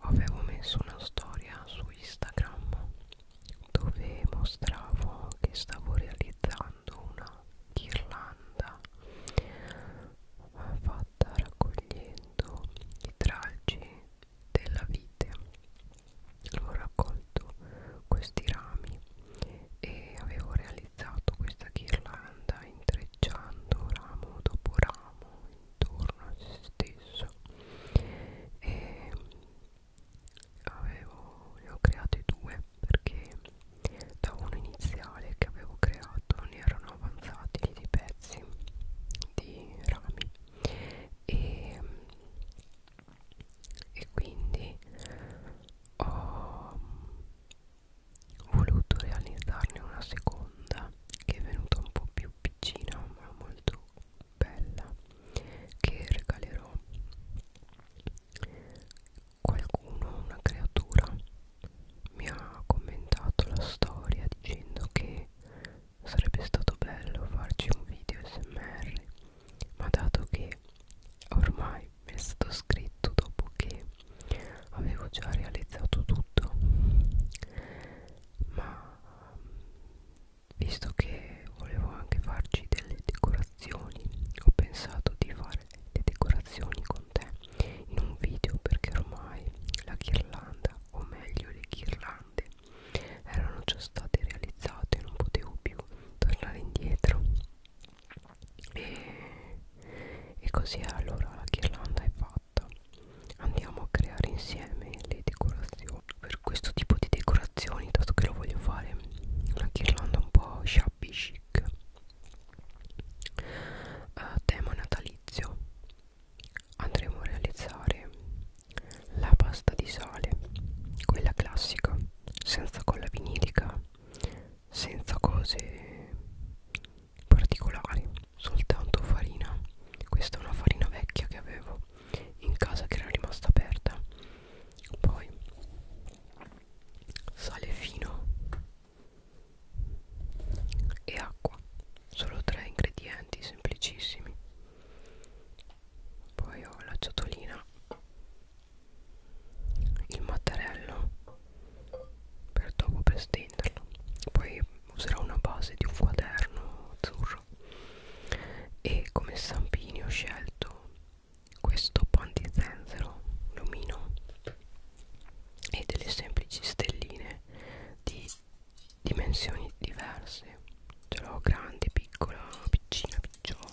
avevo messo una storia su Instagram dove mostravo che stavo realizzando una ghirlanda fatta raccogliendo i tralci della vite ho raccolto questi rami e avevo realizzato realizzato questa ghirlanda intrecciando ramo dopo ramo intorno a se stesso e avevo, ne ho create due perché da uno iniziale che avevo creato ne erano avanzati di pezzi di rami e, e quindi ho voluto realizzarne una seconda che è venuta un po' più piccina ma molto bella che regalerò qualcuno una creatura mi ha commentato la storia dicendo che sarebbe stato bello farci un video smr ma dato che che ormai mi è stato scritto dopo che avevo già realizzato tutto ma visto che volevo anche farci delle decorazioni ho pensato di fare le decorazioni con te in un video perché ormai la ghirlanda o meglio le ghirlande erano già state realizzate non potevo più tornare indietro e, e così allora la ghirlanda è fatta andiamo a creare insieme le decorazioni per questo tipo di decorazioni dato che lo voglio fare una ghirlanda un po' shabby chic uh, tema natalizio andremo a realizzare la pasta di sale quella classica senza colla vinilica senza cose particolari soltanto farina questa è una farina vecchia che avevo in casa che era rimasta aperta poi sale fino e acqua solo tre ingredienti semplicissimi poi ho la ciotolina il mattarello per dopo per stenderlo poi userò una base di un quaderno azzurro e come stampini ho scelto questo pantizenzero lumino e delle semplici stelline di dimensioni diverse ce l'ho grande, piccola, piccina, picciolo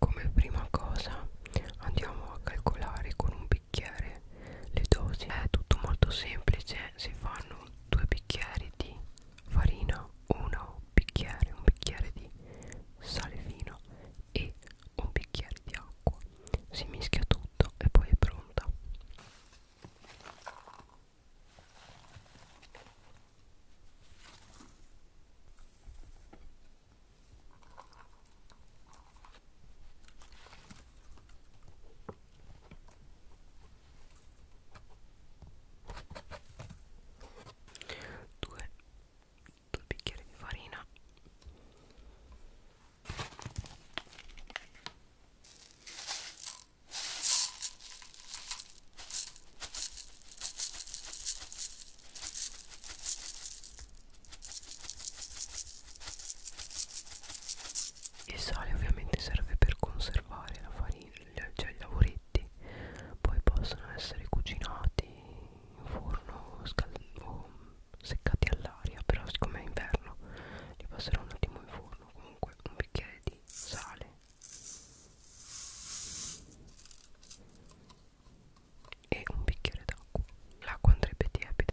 come prima cosa andiamo a calcolare con un bicchiere le dosi è tutto molto semplice si fanno due bicchieri di farina uno bicchiere un bicchiere di sale fino e un bicchiere di acqua si mischia tutto e poi è pronta due, due bicchieri di farina il sale ovviamente serve per conservare la farina, cioè i lavoretti, poi possono essere cucinati in forno o seccati all'aria, però siccome è inverno li passerò un attimo in forno, comunque un bicchiere di sale e un bicchiere d'acqua l'acqua andrebbe tiepida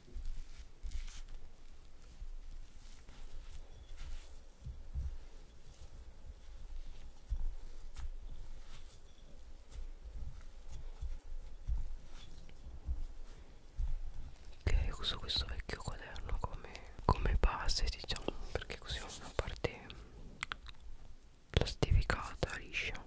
Ok, uso questo vecchio quaderno come, come base, diciamo, perché così ho una parte plastificata, liscia.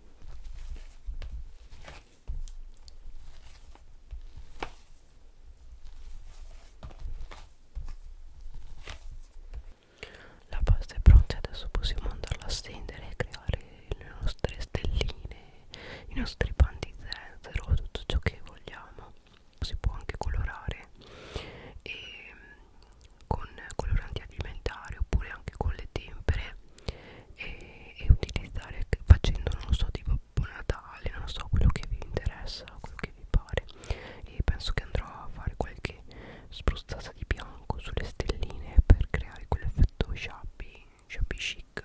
La pasta è pronta adesso possiamo andarla a stendere e creare le nostre stelline, i nostri pan di zenzero, tutto ciò che vogliamo. Si può anche colorare e ehm, con coloranti alimentari oppure anche con le tempere e, e utilizzare facendo non so tipo Babbo Natale, non so quello che vi interessa, quello che vi pare e penso che andrò a fare qualche spruzzata di bianco sulle stelline per creare quell'effetto shabby, shabby chic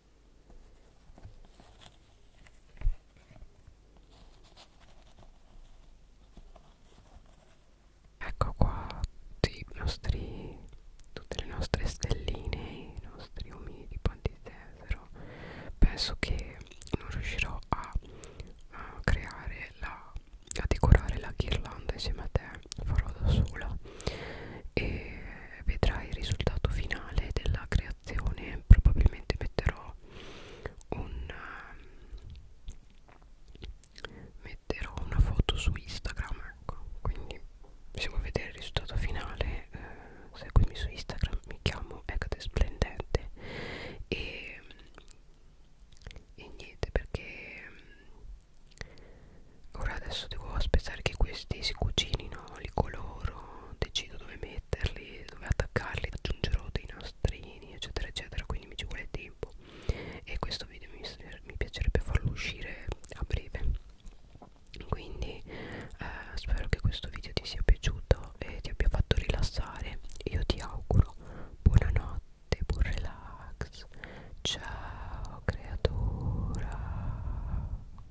Ecco qua tutti i nostri, tutte le nostre stelline, i nostri omini di Pantitesero. Penso che non riuscirò a, a creare la, a decorare la ghirlanda insieme a te, farò da sola e vedrai il risultato finale della creazione decorazione probabilmente metterò un ehm, metterò una foto su Instagram ecco quindi se vuoi vedere il risultato finale eh, seguimi su Instagram mi chiamo Ecate Splendente e, e niente perché ora adesso devo aspettare che questi si cucinino li coloro decido dove metterli metterli, dove attaccarli, aggiungerò dei nastrini eccetera eccetera quindi mi ci vuole tempo e questo video mi, mi piacerebbe farlo uscire a breve quindi eh, spero che questo video ti sia piaciuto e ti abbia fatto rilassare io ti auguro buonanotte buon relax ciao creatura